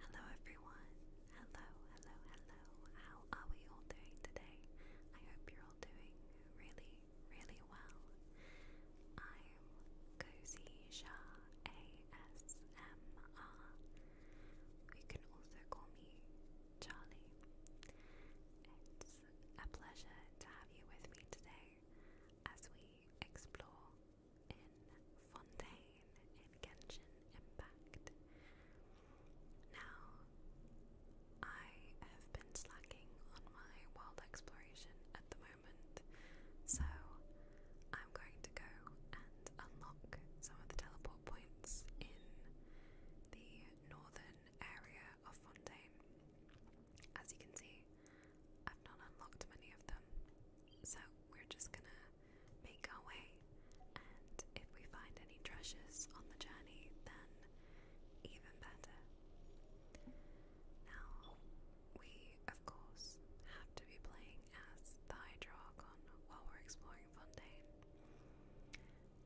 Hello everyone. Hello, hello, hello. How are we all doing today? I hope you're all doing really, really well. I'm Cozy ASMR. You can also call me Charlie. It's a pleasure to have you with me today as we explore in Fontaine in Genshin Impact. Now, I have been slacking on my world exploration at the moment, so I'm going to go and unlock some of the teleport points in the northern area of Fontaine. As you can see, I've not unlocked many of them, so we're just gonna make our way, and if we find any treasures on the journey, then even better. Now, we of course have to be playing as the Hydroarchon while we're exploring Fontaine.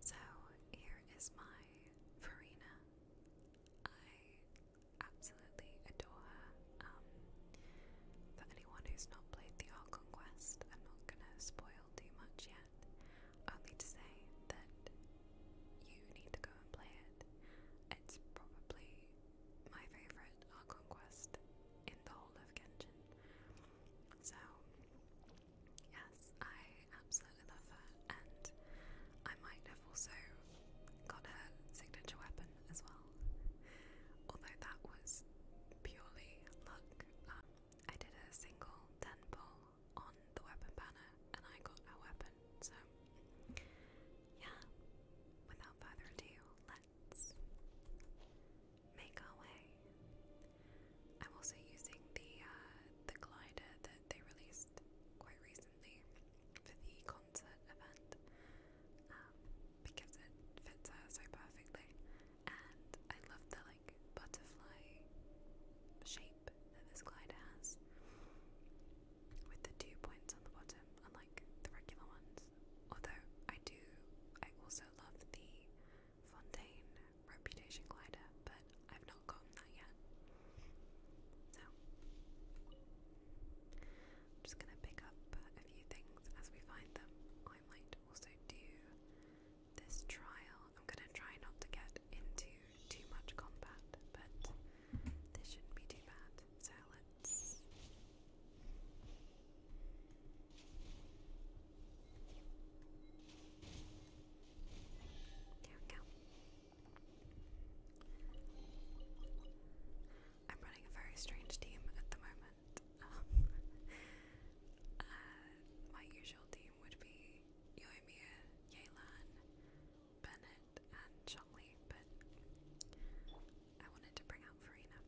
So here is my Farina. I absolutely adore her. Um, for anyone who's not played the Archon Quest, I'm not gonna spoil too much yet. Only to say that you need to go and play it. It's probably my favourite Archon Quest in the whole of Genshin. So, yes, I absolutely love her, and I might have also got her signature weapon as well. Although that was purely luck. Um, I did a single 10 pull on the weapon banner and I got a weapon. So, yeah, without further ado, let's make our way. I'm also using the uh, the glider that they released quite recently for the concert event um, because it fits her so perfectly. And I love the like butterfly shape that this glider has with the two points on the bottom, unlike the regular ones. Although I do, I also love the Fontaine Reputation glider, but I've not gotten that yet. So. I'm just going to pick up a few things as we find them. I might also do this trial. I'm going to try not to get into too much combat, but this shouldn't be too bad. So There we go. I'm running a very strange team at the moment and um, uh, my usual team would be Yoimir, Yelan, Bennett, and Shockley, but I wanted to bring out Farina,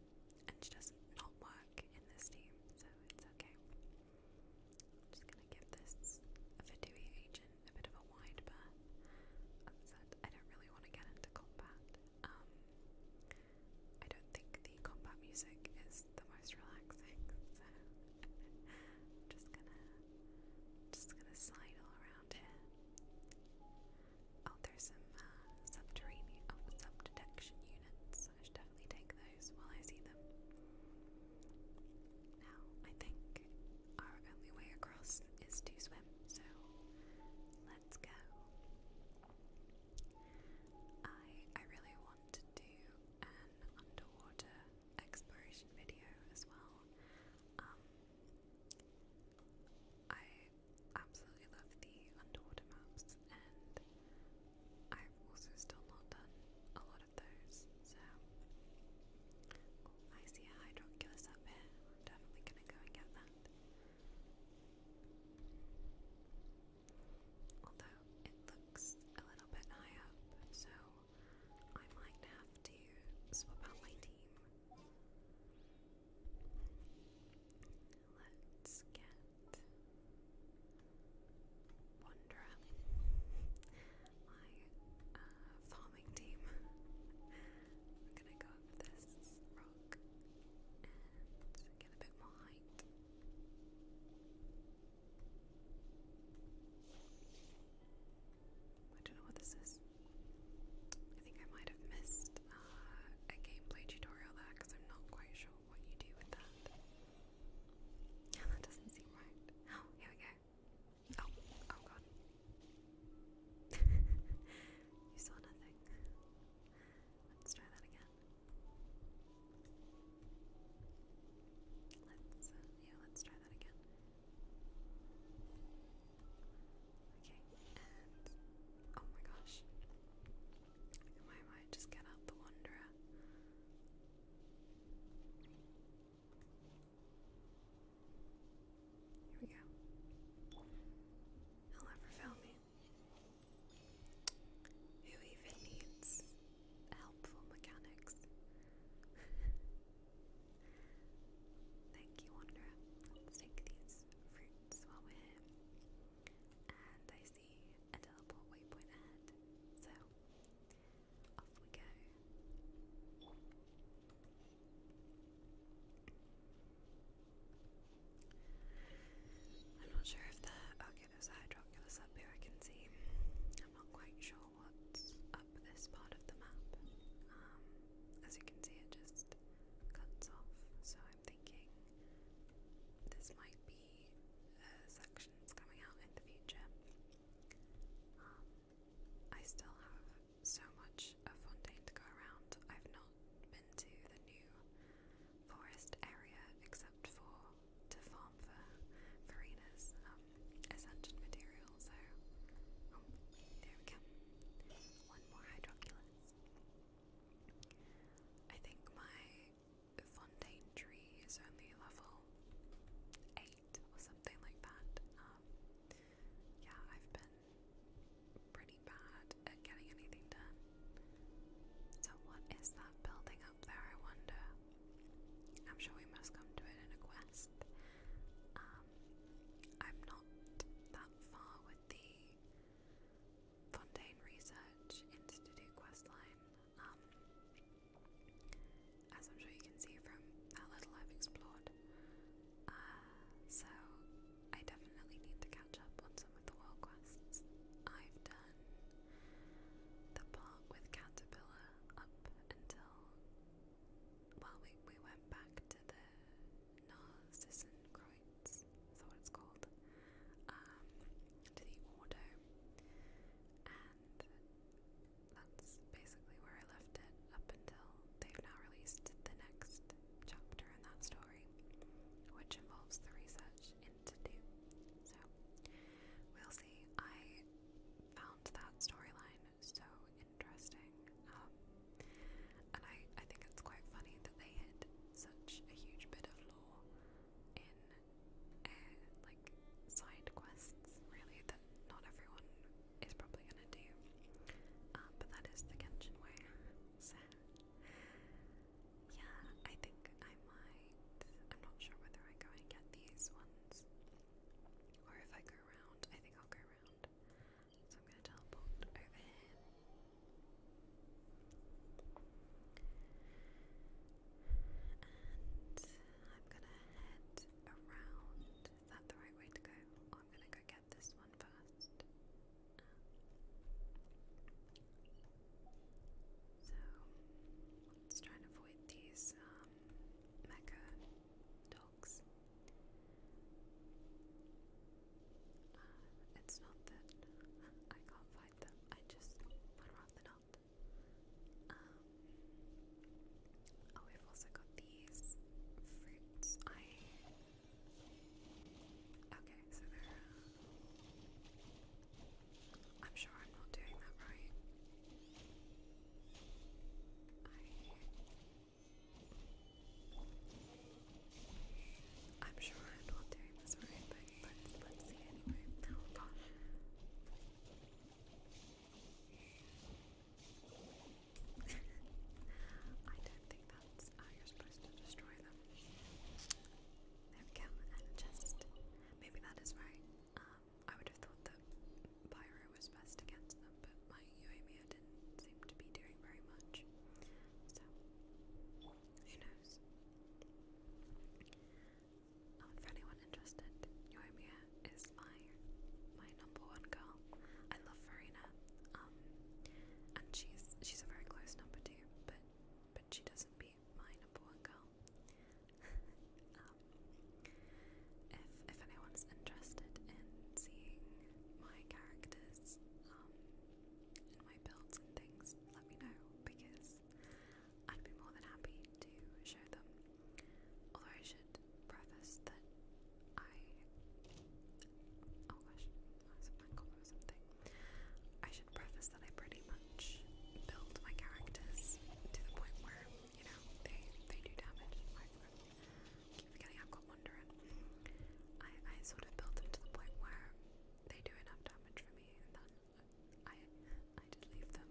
and she does not work in this team, so it's okay. I'm just gonna give this Vidui agent a bit of a wide berth. As I said, I don't really want to get into combat. Um, I don't think the combat music is the most relaxing, so I'm just gonna just gonna slide around here. Oh, there's some uh, subterranean oh, subdetection units. I should definitely take those while I see them. Now, I think our only way across is to swim, so let's go. I I really want to do an underwater exploration video as well. Um, I absolutely love the underwater maps, and I've also still not done a lot of those. So oh, I see a hydroculus up here. am definitely gonna go and get that. Although it looks a little bit high up, so I might have to swap out my team. Let's get Wanderer, my uh, farming team. I'm gonna go up this get a bit more height. I don't know what this is. I think I might have missed uh, a gameplay tutorial there because I'm not quite sure what you do with that. that doesn't seem right. Oh, here we go. Oh, oh god. you saw nothing. Let's try that again. Let's, uh, yeah, let's try that again. Okay, and oh my gosh, might just get out the wanderer? Here we go. He'll never fail me. Who even needs helpful mechanics? Thank you, Wanderer. Let's take these fruits while we're And I see a teleport waypoint ahead, so off we go. I'm not sure if the Oculus oh, Eye Oculus up here I can see. I'm not quite sure what's up this part of the map. Um, as you can see, it just cuts off. So I'm thinking this might be uh, sections coming out in the future. Um, I still have so much of Fontaine to go around. I've not been to the new forest area except for to farm for farina's um, ascension So oh, there we go. One more hydroculus. I think my fontaine tree is only level eight or something like that. Um, yeah, I've been pretty bad at getting anything done. So, what is that building up there, I wonder? I'm sure we must come to it in a quest. Um, I'm not that far with the Fontaine Research Institute questline. Um, as I'm sure you can see from how little I've explored. Uh, so, I definitely need to catch up on some of the world quests. I've done the part with Caterpillar up until well we we went back to the Narcissenkreuz, is that what it's called? Um, to the Ordo and that's basically where I left it up until they've now released the next chapter in that story, which involves the research Institute. So we'll see. I found that storyline so interesting. Um, and I, I think it's quite funny that they hid such a huge bit of lore in uh, like side quests really that not everyone is probably gonna do. Um, but that is the Genshin way. So yeah, I think I might. I'm not sure whether I go and get these ones or if I go around. I think I'll go around. So I'm going to teleport over And I'm going to head around. Is that the right way to go? I'm going to go get this one first. So let's try avoid these um, dogs. Uh, it's not that I can't fight them, I just would rather not. Um, oh, we've also got these fruits. I. Okay, so they're. Uh, I'm sure I'm not doing that right. I... am sure I'm not doing this right, but let's, let's see anyway. Oh gosh. I don't think that's how supposed to destroy them. There we go, and a chest. Maybe that is right. Um, I would have thought that Pyro was best against them, but my Uemio didn't seem to be doing very much. So, who knows? Uh, oh, for anyone interested, Yoimiya is my my number one girl. I love Farina, um, and she's she's a very close number two, but but she doesn't maybe mine a girl. Um, if if anyone's interested in seeing my characters um, my builds and things, let me know because I'd be more than happy to show them. Although I should preface that I oh gosh, I was a something. I should preface that I pretty much build my characters to the point where, you know, they they do damage. I keep forgetting I've got I, I sort of build them to the point where they do enough damage for me and then I I just leave them.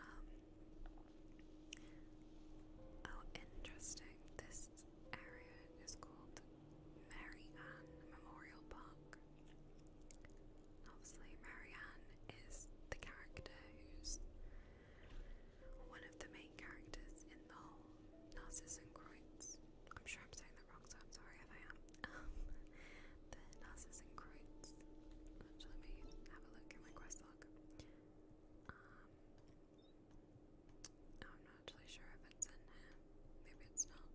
Um oh, interesting. This area is called Marianne Memorial Park. Obviously, Marianne is the character who's one of the main characters in the whole and Kreutz. I'm sure I'm saying that wrong, so I'm sorry if I am. the Narcissus and Kreutz. let me have a look in my quest log. Um, I'm not actually sure if it's in here. Maybe it's not.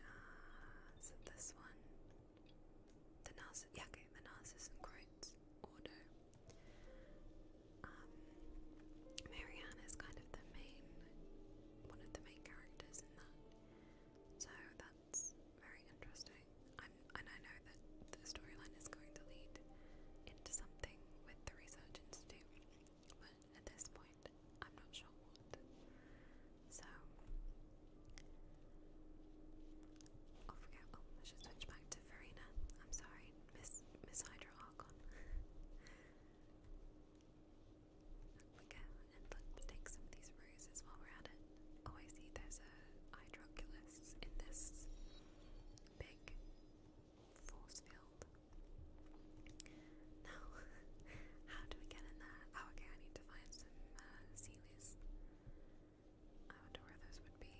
Ah, so this one. The Narciss yeah, the Narcissus and Croats Ordo. Um Marianne is kind of the main one of the main characters in that. So that's very interesting. I'm and I know that the storyline is going to lead into something with the research institute, but at this point. I'm not sure what. So I'll forget. Oh, I should switch back to Farina. I'm sorry, Miss Miss Hydro we go, and let's take some of these roses while we're at it. Oh, I see. There's a hydroculus in this big force field. Now, how do we get in there? Oh, okay, I need to find some uh, I wonder where those would be.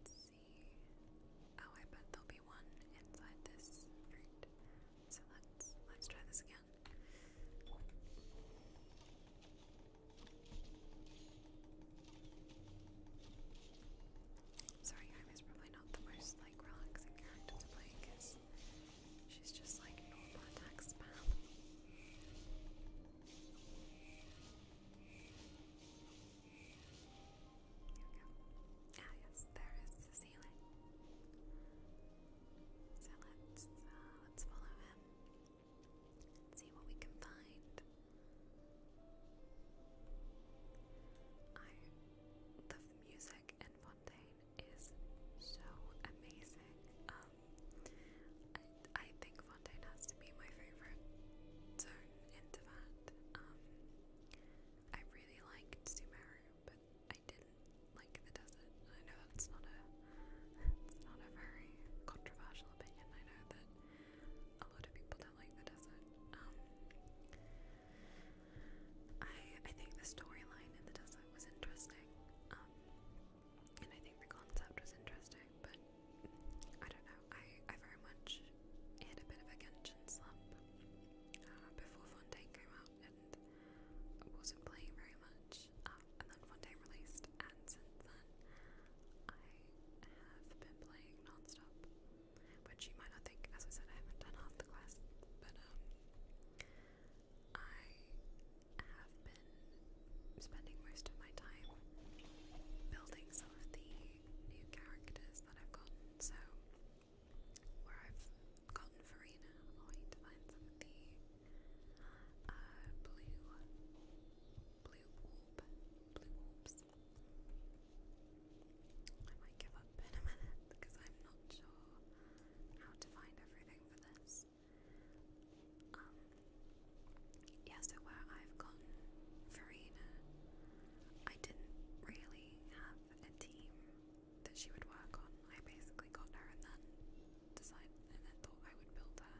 Let's see. Oh, I bet there'll be one inside this fruit. So let's let's try this again. Sorry, Ivy's probably not the most like relaxing character to play because she's just like normal attack spam. Here we go. Ah yes, there is the ceiling. So let's uh, let's follow him. See what we can find. I the music music in Fontaine is so amazing. Um, I, I think Fontaine has to be my favorite zone into that. Um, I really liked Sumeru, but I didn't like the desert. I know that's not a it's not a very controversial opinion. I know that a lot of people don't like the desert. Um, I I think the storyline in the desert was interesting, um, and I think the concept was interesting, but I don't know. I I very much had a bit of a Genshin slump uh, before Fontaine came out, and I wasn't playing very much. Uh, and then Fontaine released, and since then I have been playing non-stop which you might not think, as I said, I haven't done half the class, but um, I have been spending most of my time building some of the new characters that I've gotten. So, where I've gotten Farina, I'm waiting to find some of the uh, blue, blue orb, blue orbs. I might give up in a minute because I'm not sure how to find everything for this. Um, yeah, so I've gotten Farina, I didn't really have a team that she would work on. I basically got her and then decided and then thought I would build her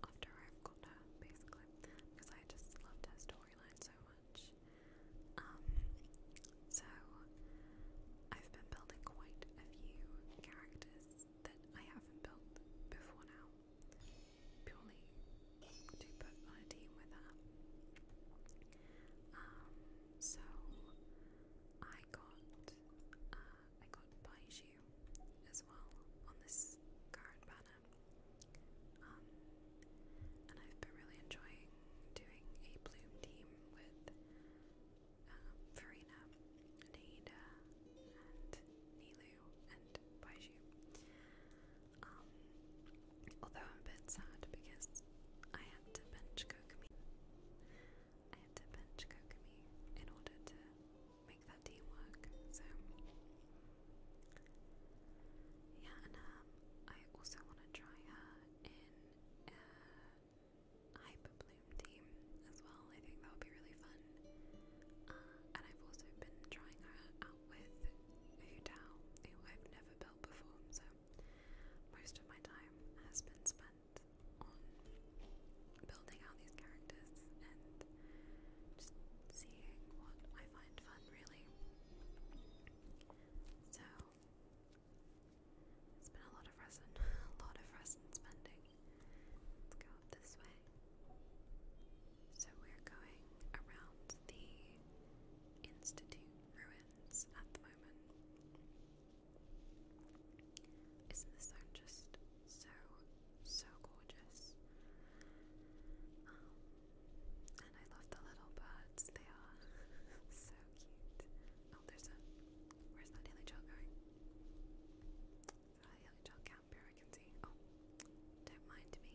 after I've got her, basically, because I just loved her storyline so much. Um, so I've been building quite a few characters that I have built before now, purely to put on a team with her. Um, so I got uh, I got Baiju as well on this card banner. Um, and I've been really enjoying doing a bloom team with um, Farina, Naida, and Nilu, and Baiju. Um, although I'm a bit sad because I had to bench Kokumi. I had to bench Kokumi in order to make that team work, so yeah, and um, I also want to try her in uh, Hyper Bloom team as well. I think that would be really fun. Uh, and I've also been trying her out with Hudao, who I've never built before, so most of my time has been spent on building out these characters and just seeing what I find fun, really. So, it's been a lot of resin, a lot of resin spending. Let's go this way. So we're going around the Institute ruins at the moment. Isn't this just so, so gorgeous? Um, I love the little birds, they are so cute. Oh, there's a. Where's that hilly child going? A hilly child camper, I can see. Oh, don't mind me.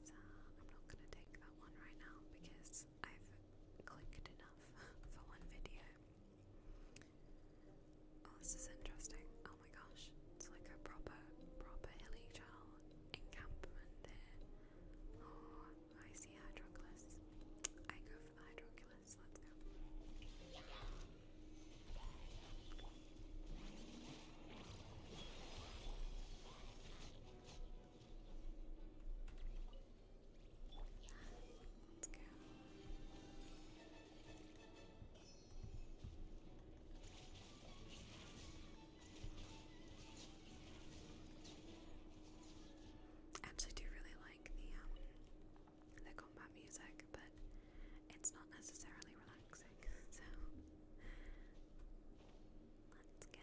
Uh, I'm not gonna take that one right now because I've clicked enough for one video. Oh, this is interesting. Oh my gosh, it's like a proper, proper hilly child encampment there. Oh, I see Hydroculus. I go for the Hydroculus. Let's go. Let's go. I actually do really like the um, the combat music, but it's not necessarily relaxing. So let's go.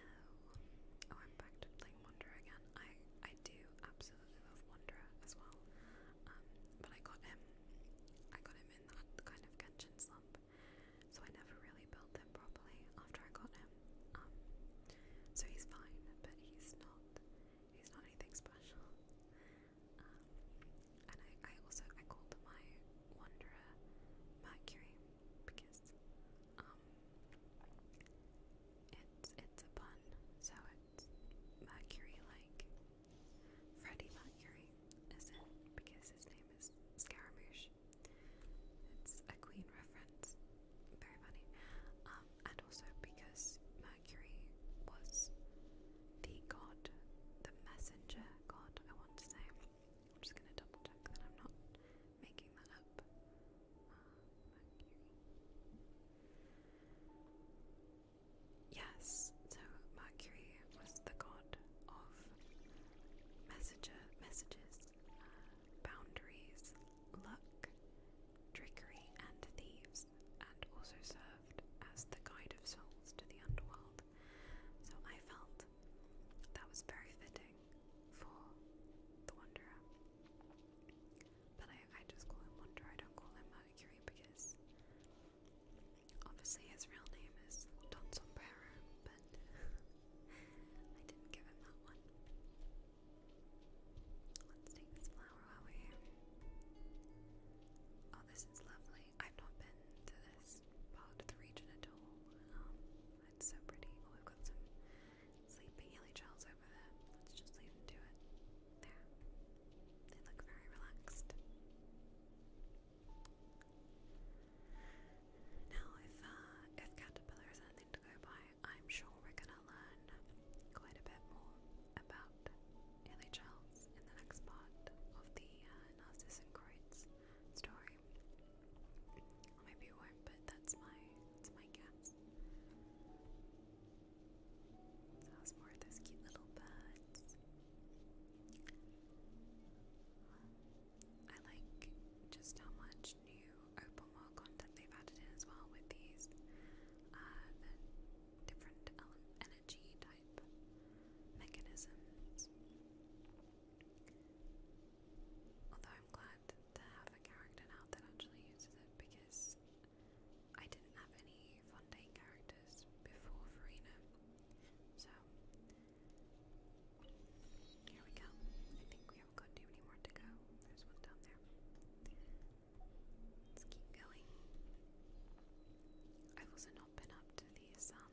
Oh, I'm back to playing Wanderer again. I I do absolutely love Wanda as well. Um, but I got him. I got him in that kind of Genshin slump so I never really built them properly after I got him. Um, so he's fine, but he's not he's not anything special. Um, and I, I also I called them my Wanderer Mercury because um it's it's a pun, so it's Mercury like Freddie Mercury, is it? Because his name is Scaramouche, it's a Queen reference. Very funny. Um, and also because Mercury was the god, the messenger god, I want to say. I'm just going to double check that I'm not making that up. Uh, yes, so Mercury was the god of messenger messages boundaries, luck, trickery, and thieves, and also served as the guide of souls to the underworld. So I felt that was very fitting for the Wanderer. But I, just call him Wanderer, I don't call him Mercury because obviously his real name is Don Sombrero, but I didn't give him that one. Let's take this flower while we're here. Oh, this is lovely. I've not been to this part of the region at all. Um, it's so pretty. Oh, we've got some sleeping hilly over there. Let's just leave them to it. There. They look very relaxed. Now, if uh, if Caterpillar is anything to go by, I'm sure we're gonna learn quite a bit more about LHLs in the next part of the uh, story. Or maybe it but that's my that's my guess. So more of those cute little birds. I like just how much new open world content they've added in as well with these uh, different energy type mechanisms. Although I'm glad to have a character now that actually uses it because I didn't have any Fontaine characters before Farina. So here we go. I think we haven't got too many more to go. There's one down there. Let's keep going. I've also not been up to these um,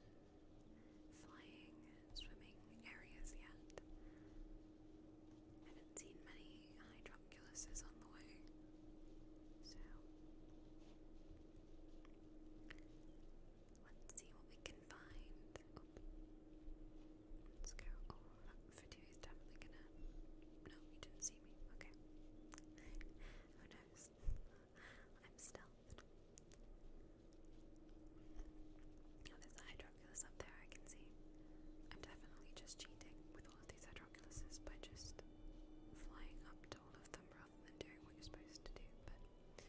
flying, swimming areas yet. I haven't seen many hydroculuses on the way. So, let's see what we can find. Let's go. Oh, is definitely gonna. No, you didn't see me. Okay. Who knows? I'm stealthed. Oh, there's a hydroculus up there, I can see. I'm definitely just cheating with all of these hydroculuses by just flying up to all of them rather than doing what you're supposed to do, but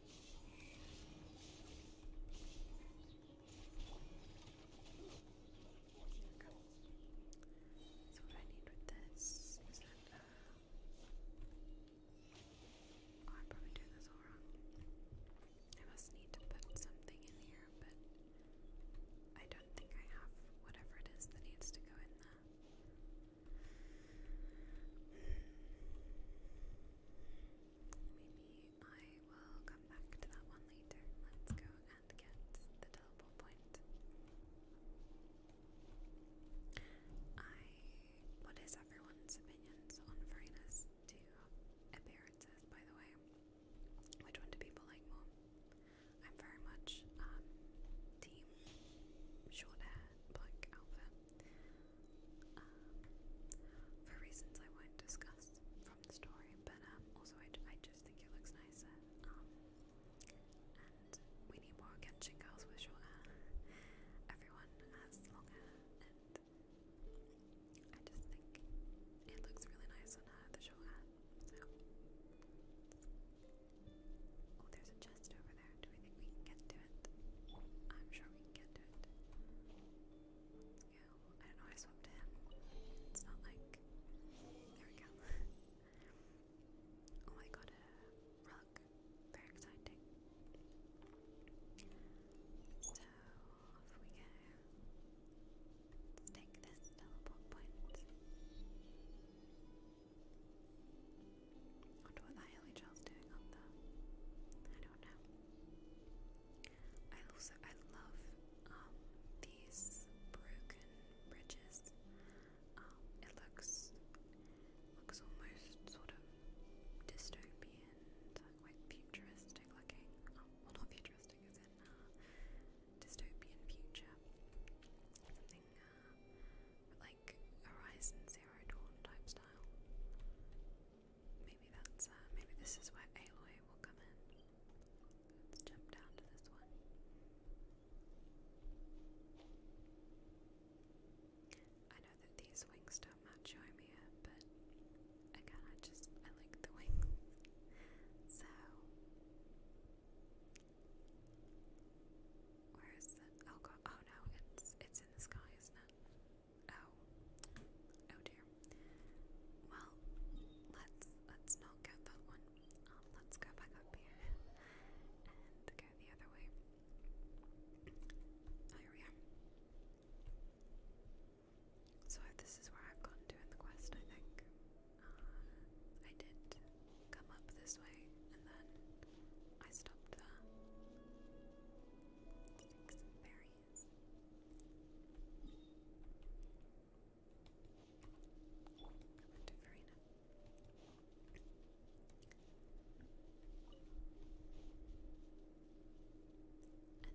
So what I need with this uh, oh, I'm probably doing this all wrong. I must need to put something in here, but I don't think I have whatever it is that needs to go in there. Maybe I will come back to that one later. Let's go and get the double point. I. What is everyone's opinions on foreigners to appearances, by the way? Which one do people like more? I'm very much um, team short hair, black outfit um, for reasons I won't discuss from the story, but um, also I, I just think it looks nicer. Um, and we need more Genshin girls with short hair. Everyone has long I just think it looks really nice on the short hair. So, oh, there's a chest over there. Do we think we can get to it? I'm sure we can get to it. Let's go. I don't know I swapped to him. It's not like. There we go. oh, I got a rug. Very exciting. So, off we go. Let's take this teleport I wonder what that hilly child's doing up there. I don't know. I also I love um, these broken bridges. Um, it looks looks almost sort of dystopian, quite futuristic looking. Um, well, not futuristic, as in uh, dystopian future. Something uh, like Horizon Zero Dawn type style. Maybe that's uh, maybe this is where Aloy will come in. Let's jump down to this one. I know that these wings don't match Yoimiya, but again, I just I like the wings. So, where is the? Oh god! Oh no! It's it's in the sky, isn't it? Oh. Oh dear. Well, let's let's not get that one. Um, let's go back up here and go the other way. Oh, here we are. So this is where I've gone to in the quest, I think. Uh, I did come up this way and then I stopped there sticks and berries. Come on to Farina. And then I think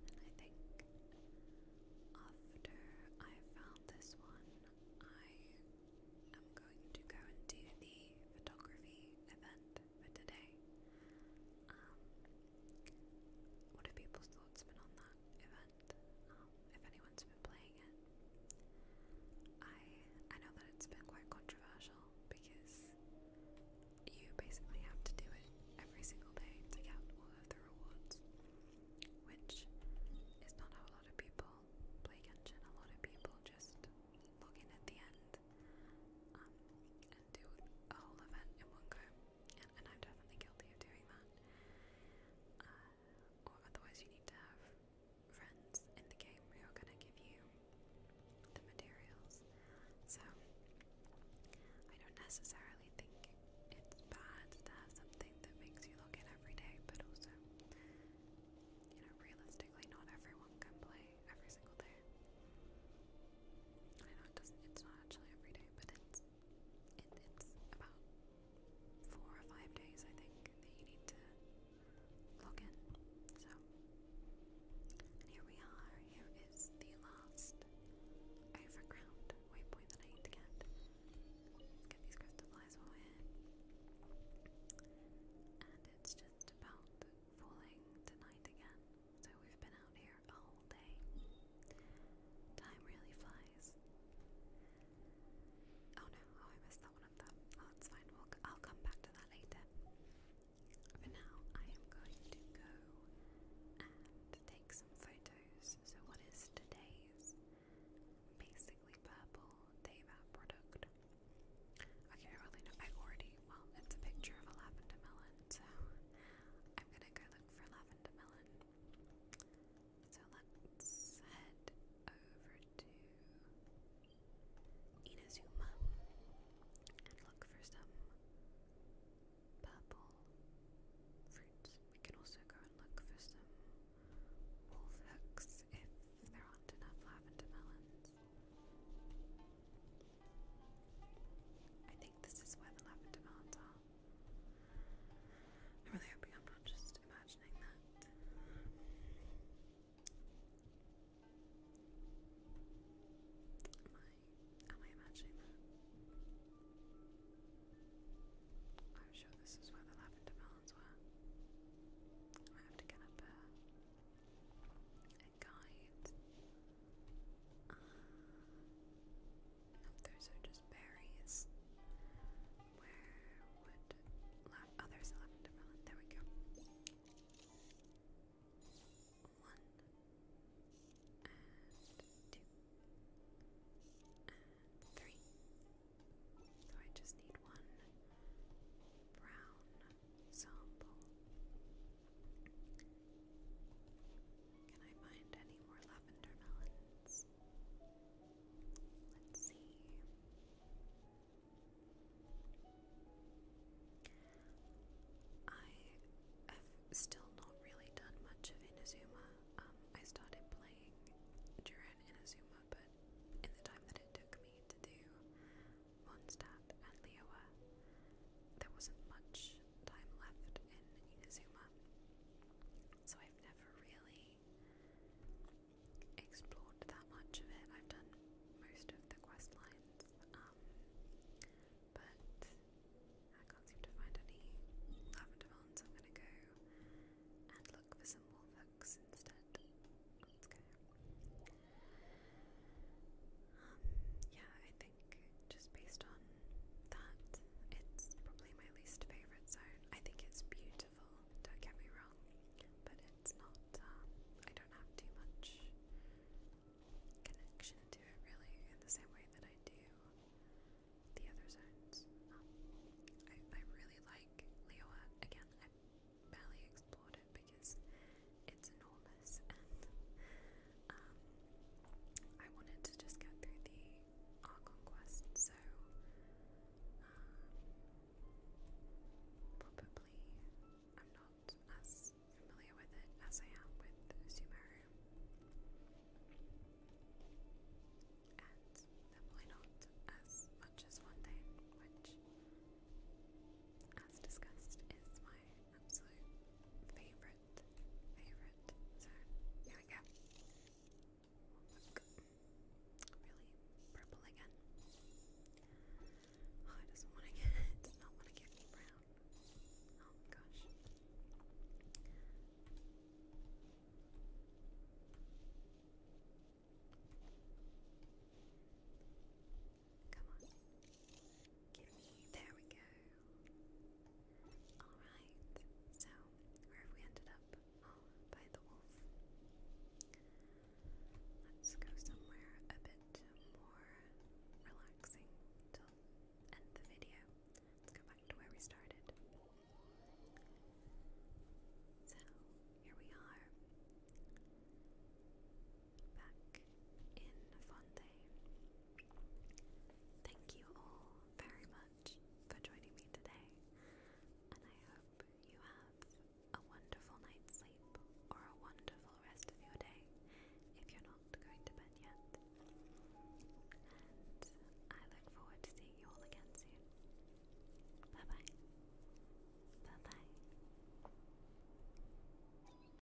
after I found this one, I am going to go and do the photography event for today. Um, what have people's thoughts been on that event? Um, if anyone's been playing it, I I know that it's been quite controversial because you basically have to do it every single day to get all of the rewards, which is not how a lot of people play Genshin. A lot of people just log in at the end um, and do a whole event in one go, and, and I'm definitely guilty of doing that. Uh, or otherwise, you need to have friends in the game who are going to give you the materials. So, I don't necessarily think it's bad to have something that makes you log in every day, but also, you know, realistically, not everyone can play every single day. I know it doesn't it's not actually every day, but it's it's about four or five days I think that you need to log in. So here we are. Here is the last overground waypoint that I need to get. get these crystal flies while we And it's just about falling tonight again. So we've been out here a day. Time really flies. Oh no, oh, I messed that one up though. Oh, it's fine, I'll come back to that later. For now, I am going to go and take some photos. So what is today's basically purple day product? Okay, really know, I already well, it's a picture of a lavender melon, so I'm gonna go look for lavender melon. So let's head over to Inazuma and look for some purple fruits. We can also go and look for some wolf hooks if there aren't enough lavender melons. I think this is where the lavender mounds are. i really hoping I'm not just imagining that. Am I, imagining that? I'm sure this is where the lavender mounds were. I have to get up guides. Ah, those are just berries. Where would la oh, there's a There we go. One and two and three. So I just need one brown example. Can I find any more lavender melons? Let's see. I have still not really done much of Inazuma. Um, I started playing during Inazuma, but in the time that it took me to do Mondstadt, and Liowa. There wasn't much time left in Inazuma, so I've never really explored that much of it. I've done most of the quest lines, um, but I can't seem to find any lavender ones. I'm gonna go and look for some wolf hooks instead. Let's go. Um, yeah, I think just based on that, it's probably my least favorite zone. I think it's beautiful, don't get me wrong, but it's not, um, I don't have too much connection to it really in the same way that I do the other zones. Um, I, I really like Leoa. Again, I barely explored because it's enormous and um, I wanted to just get through the Archon so um, probably I'm not as familiar with it as I am with Sumeru. And definitely not as much as one day, which, as discussed, is my absolute favorite, favorite. So here we go. really purple again. Oh, I just want to get. not want to get brown. Oh my gosh. Come on. There we go. Alright. So, where have we ended up? Oh, by the wolf. Let's go somewhere a bit more relaxing to end the video. Let's go back to where we started. So, here we are back in Fonte. Thank you all very much for joining me today, and I hope you have a wonderful night's sleep or a wonderful rest of your day if you're not going to bed yet. And I look forward to seeing you all again soon. Bye bye. Bye bye.